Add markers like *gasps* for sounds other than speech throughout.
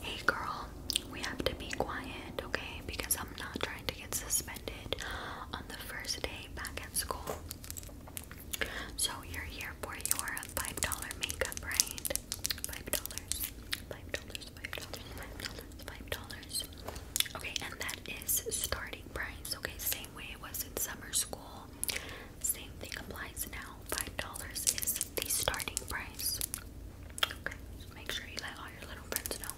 Hey girl, we have to be quiet, okay? Because I'm not trying to get suspended on the first day back at school. So you're here for your five dollar makeup, right? Five dollars, five dollars, five dollars, five dollars, five dollars. Okay, and that is starting price. Okay, same way it was in summer school. Same thing applies now. Five dollars is the starting price. Okay, make sure you let all your little friends know.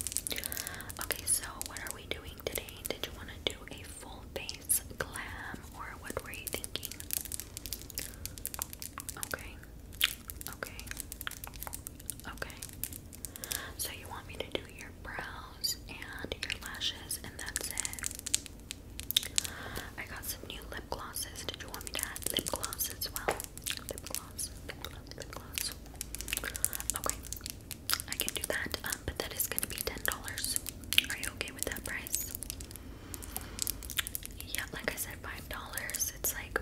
Okay, so what are we doing today? Did you want to do a full face glam or what were you thinking? Okay, okay, okay. So you want me to do your brows and your lashes and that's it. I got some new lip glosses. Did you want me to add lip gloss as well? Lip gloss, lip gloss, lip gloss. Okay, I can do that, um, but that is going to be $10. Are you okay with that price? Yeah, like I said, $5. It's like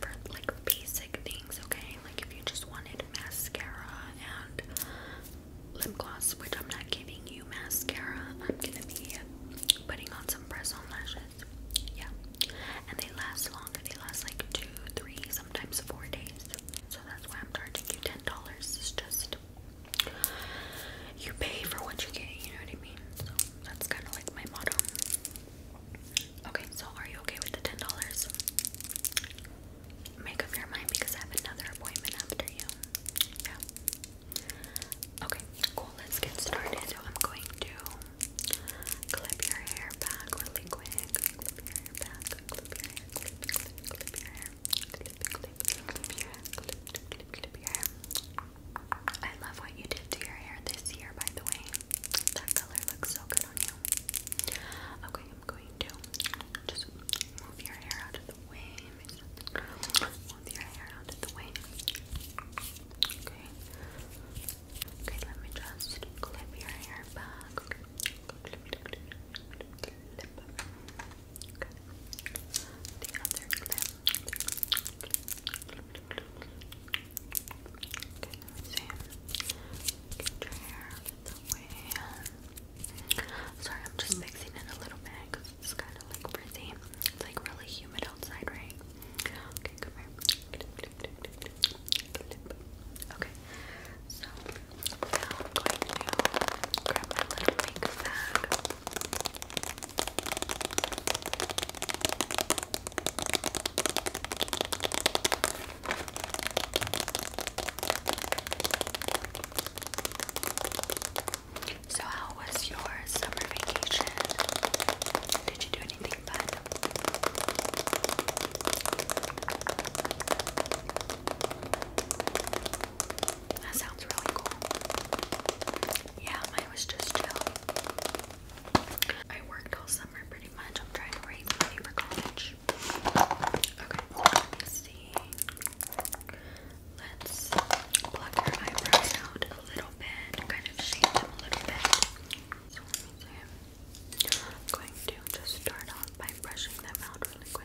for like basic things, okay? Like if you just wanted mascara and lip gloss, which I'm not giving mascara. I'm gonna be putting on some press on lashes. Yeah. And they last longer. They last like two, three, sometimes four days. So that's why I'm charging you ten dollars. It's just you pay for what you get, you know what I mean? So that's kinda like my motto. Okay, so are you okay with the ten dollars? Make up your mind because I have another appointment after you. Yeah. Okay, cool. Let's get started. So I'm going to clip your hair back really quick. I love what you did to your hair this year, by the way. That color looks so good on you. Okay, I'm going to just move your hair out of the way. Okay. Okay, let me just clip your hair back. Okay. The other clip. Okay, let me your hair the way. Sorry, I'm just mixing in a little bit it's kind of like frizzy. It's like really humid outside, right? Okay, come here. Okay, so I'm going to grab my little pink bag. So, how was your summer vacation? Did you do anything fun? That sounds really cool. Yeah, mine was just chill. I worked all summer pretty much. I'm trying to raise for college. Okay, let me see. Let's pluck your out a little bit, kind of shape them a little bit. So I'm going to just start off by brushing them out really quick.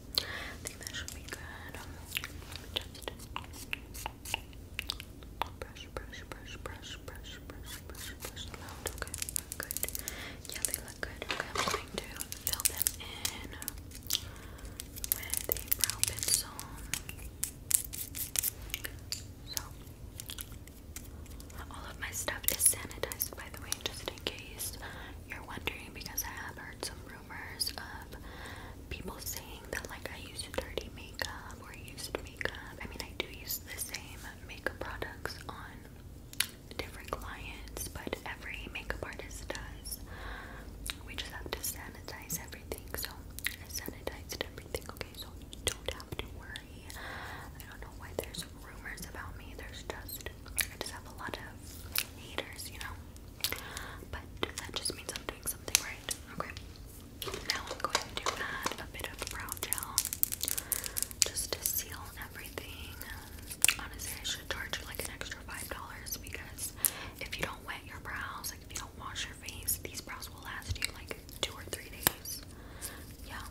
I think that should be good. Um, brush, brush, brush, brush, brush, brush, brush, brush them out. good. Yeah, they look good. I'm going to fill them in with a brow pencil. So, all of my stuff is sanitized, by the way, just in case you're wondering, because I have heard some rumors of people saying that like I use dirty makeup or used makeup. I mean, I do use the same makeup products on different clients, but every makeup artist does. We just have to sanitize everything. So I sanitized everything. Okay, so you don't have to worry. I don't know why there's rumors about me. There's just I just have a lot of haters, you know. But that just means I'm doing something right. Okay. Now I'm going to add a bit of brow gel just to seal everything. Honestly, I should charge you like an extra five dollars because if you don't wet your brows, like if you don't wash your face, these brows will last you like two or three days. Yeah.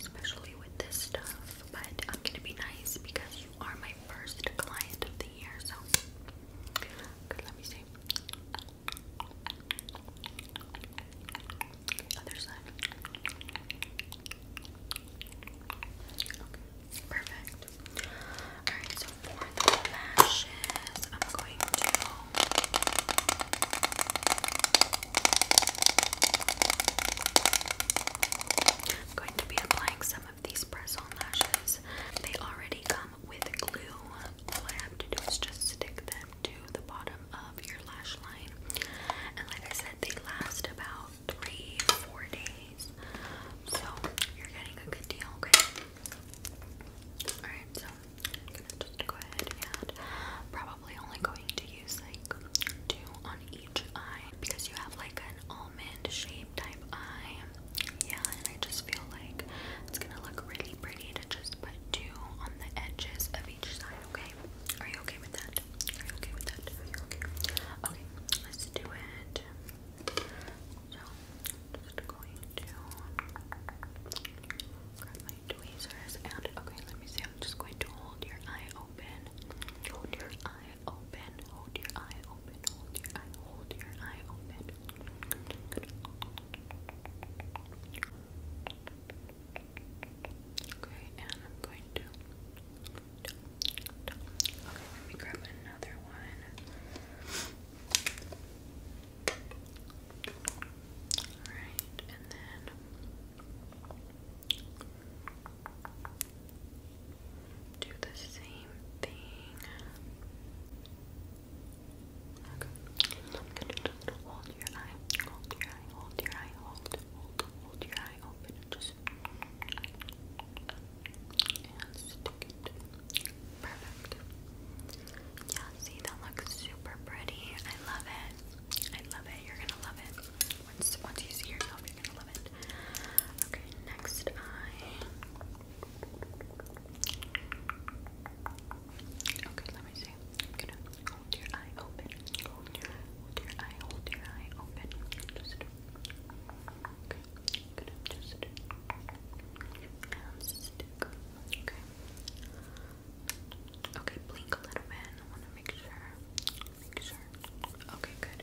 Especially with this stuff. But I'm gonna be nice because you are my first client of the year, so let me see. perfect. Alright, so for the lashes, I'm going to I'm going to be applying some of these press-on lashes. They already come with glue. All I have to do is just stick them to the bottom of your lash line. And like I said, they last about three, four days. So you're getting a good deal, okay? Alright, so I'm gonna just go ahead and probably only going to use like two on because you have like an almond shape type eye. Yeah, and I just feel like it's gonna look really pretty to just put two on the edges of each side, okay? Are you okay with that? Are you okay with that? Are you okay? Okay, let's do it. So, just going to grab my tweezers and, okay, let me see. I'm just going to hold your eye open. Hold your eye open. Hold your eye open. Hold your eye. Hold your eye open. Okay, and I'm going to. Okay, let me grab another one. Alright, and then do the same thing. Okay. i hold your eye, hold your eye, hold your eye, hold, hold, hold your eye open just Perfect. Yeah, see that looks super pretty. I love it. I love it. You're gonna love it. Once once you see yourself, you're gonna love it it. Okay, next eye. Okay, let me see. I'm gonna hold your eye open. Hold your, hold your eye, hold your eye open. Just okay. I'm gonna just and stick. Okay. Okay, blink a little bit. I wanna make sure make Okay, good.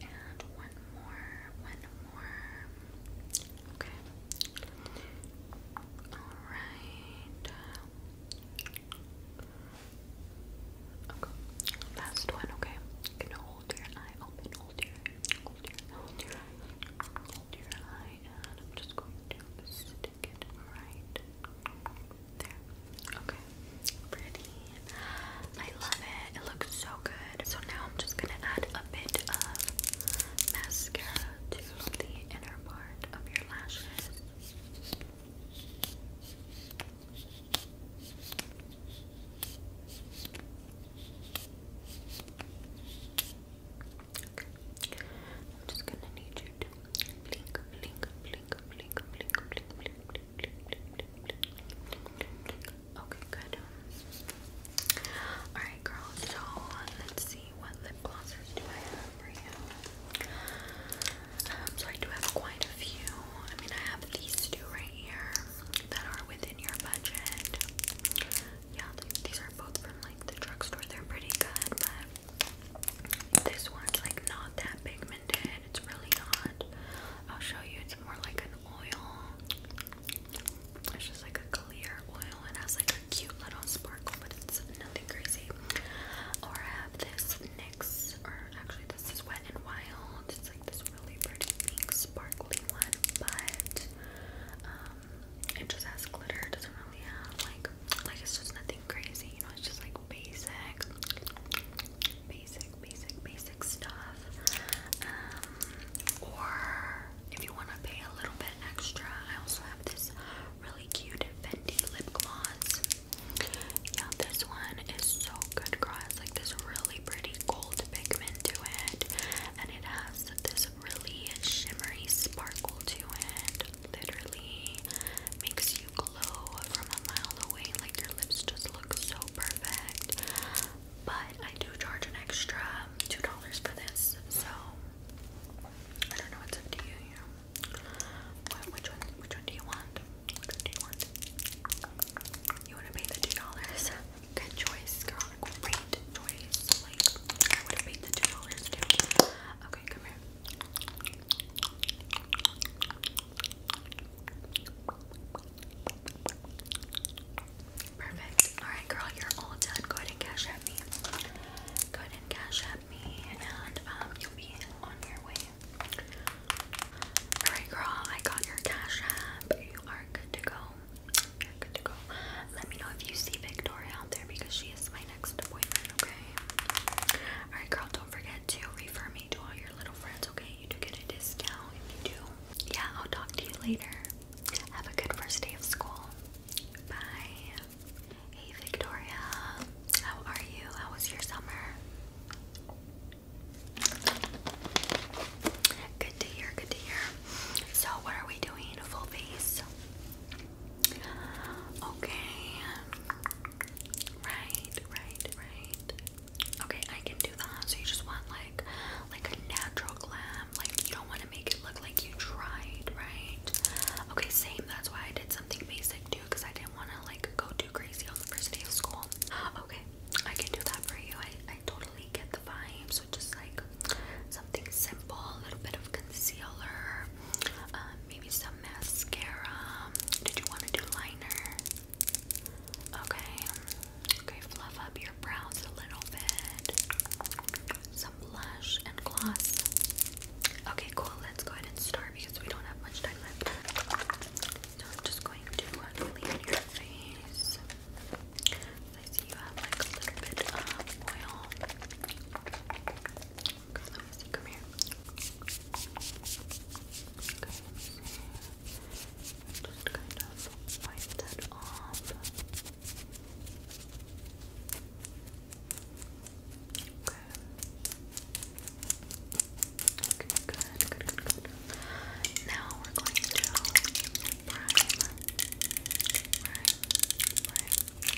And one more, one more. Okay. Alright. Uh, okay. Last one, okay. You hold your eye open, hold your hold your hold your eye. Hold your eye and I'm just going to stick it right there. Okay. Pretty. I love it. It looks so good. So now I'm just gonna add a bit of mascara to the inner part of your lashes. I'm just gonna need you to blink, blink, blink, blink, blink, blink, blink, blink, Okay, good. Alright, girl, so let's see what lip glosses do I have for you. Um, so, I do have quite a few. I mean, I have these two right here that are within your budget. Yeah, these are both from like the drugstore, they're pretty good, but this one's like not that pigmented. It's really not. I'll show you. It's more like an oil. It's just like a clear oil and has like a cute little sparkle, but it's nothing crazy. Or I have this NYX, or actually this is Wet and Wild. It's like this really pretty sparkly one, but um, it just has glitter. It doesn't really have like, like it's just nothing crazy, you know, it's just like basic, basic, basic, basic stuff. Um, or if you want to pay a little bit extra, I also have this really cute Fenty lip gloss. Yeah, this one is so good, girl. It's like this really pretty gold pigment to it, and it has this really shimmery sparkle to it literally makes you glow from a mile away. Like your lips just look so perfect. But I do charge an extra two dollars for this, so I don't know what's up to you. You know, which one? Which one do you want? do you want? You want to pay the two dollars? Good choice, girl. Great choice. I would have paid the two dollars Perfect. Alright, girl, you're all done. Go ahead and cash at me. Go ahead and cash at me, and um, you'll be on your way. Alright, girl, I got your cash app. You are good to go. You're good to go. Let me know if you see Victoria out there because she is my next appointment, okay? Alright, girl, don't forget to refer me to all your little friends, okay? You do get a discount if you do. Yeah, I'll talk to you later. Have a good first day of school. Bye. Hey, Victoria. How are you? How was your summer? Good to hear, good to hear. So, what are we doing? Full face. Okay. Right, right, right. Okay, I can do that. So you just want like like a natural glam. Like you don't want to make it look like you tried, right? Okay, same. That's why I did something basic too, because I didn't want to like go too crazy on the first day of school. *gasps* Okay, I can do that for you. I, I totally get the vibe. So just like something simple, a little bit of concealer, um, maybe some mascara. Did you want to do liner? Okay. Okay, fluff up your brows a little bit. Some blush and gloss. Okay, cool. Let's go ahead and start because we don't have much time left. just going to uh, clean your face. I see you have like a little bit of oil. Girl, let Okay, let good, good, good, good. Now we're going to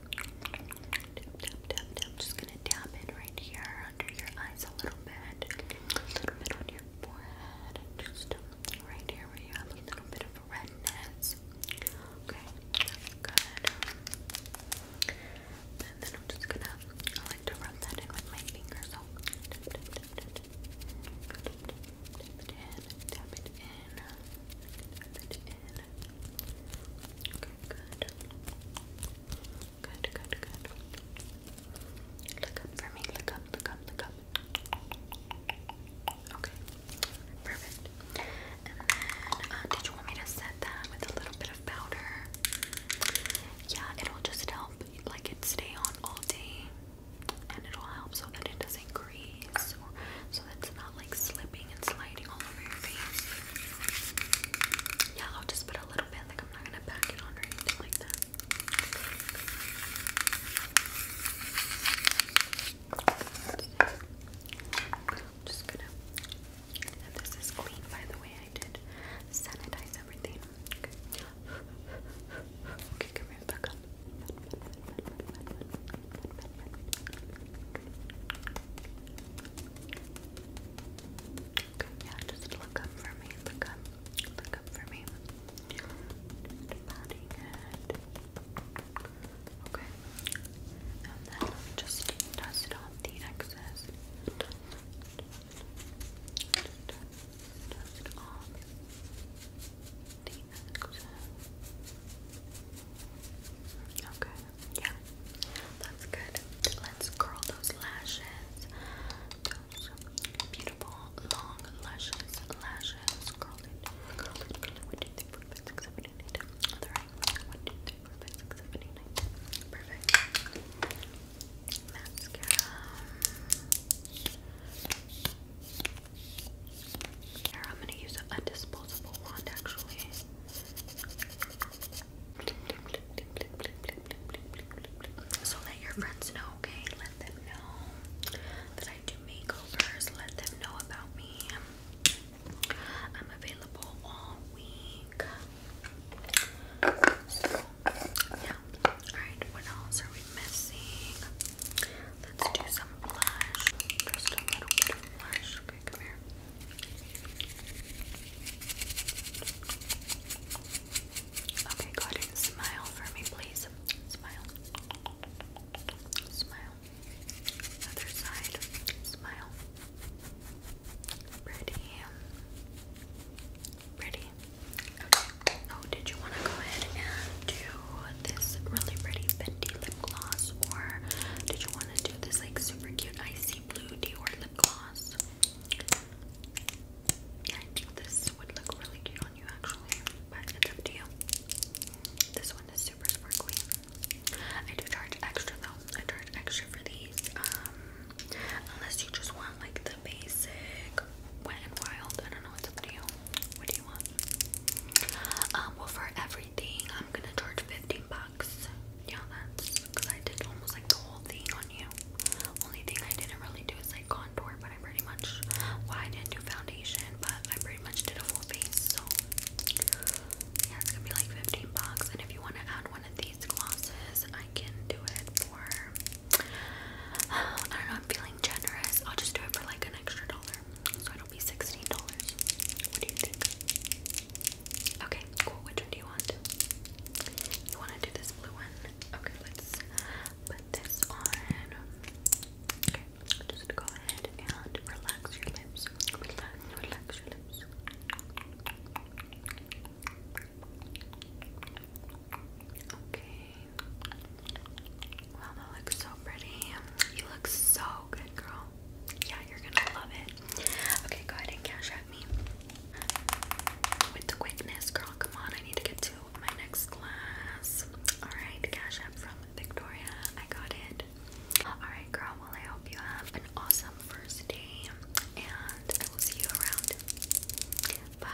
I'm Just gonna tap it right here under your eyes a little bit, a little bit on your forehead, just right here where you have a little bit of redness. Okay, good. then I'm just gonna, like to rub that in with my finger, so tap, it in, tap it in, tap it in. Okay, good. Good, good, good. Look up for me. Look up, look up, look up. Okay, perfect. And then, uh, did you want me to set that with a little bit of powder? Yeah, it'll just help, like it stay on all day, and it'll help so that it doesn't so that not like slipping and sliding all over your face. Yeah, I'll just put a little bit, like I'm not gonna pack it on or like that. this is clean by the way I did sanitize everything. Okay, okay come here, back Okay, yeah, just look up for me. Look up. Look up for me. Okay. And then just dust off the excess. dust off the excess. Okay, yeah, that's good. Let's curl those lashes. Those beautiful long lashes, lashes. Curl One, two, three, four, five, six, seven, eight, nine. Perfect. Mascara. I'm gonna use an disposable wand actually. So let your friends know, okay? Let them know that I do makeovers. Let them know about me. I'm available all week. So, yeah. Alright, what else are we missing? Let's do some blush. Just a little bit of blush. Okay, come here. Okay, go ahead and smile for me, please. Smile. Smile. Other side. Smile. Pretty. Pretty. Oh, did you want to go ahead and do this really pretty Fenty lip gloss, or did you want to do this like super cute icy blue Dior lip gloss? I think this would look really cute on you actually, but it's up to you. This one is super sparkly. I do charge extra though. I charge extra for these. Um, unless you just want like the basic wet and wild. I don't know. It's up to you. What do you want? Um, well, for every I'm gonna charge 15 bucks. Yeah, that's because I did almost like the whole thing on you. Only thing I didn't really do is like contour, but I pretty much well I didn't do foundation, but I pretty much did a full face. So yeah, it's gonna be like 15 bucks. And if you wanna add one of these glosses, I can do it for *sighs* I don't know, I'm feeling generous. I'll just do it for like an extra dollar be $16. What do you think? Okay, cool. Which one do you want? You want to do this blue one? Okay, let's put this on. Okay, just go ahead and relax your lips. Relax, relax your lips. Okay. Wow, that looks so pretty. You look so good, girl. Yeah, you're gonna love it. Okay, go ahead and cash at me. With the quickness, girl, come on. I need to get to my next class. Alright, cash app from Victoria. I got it. Alright, girl, well, I hope you have an awesome first day, and I will see you around. Bye.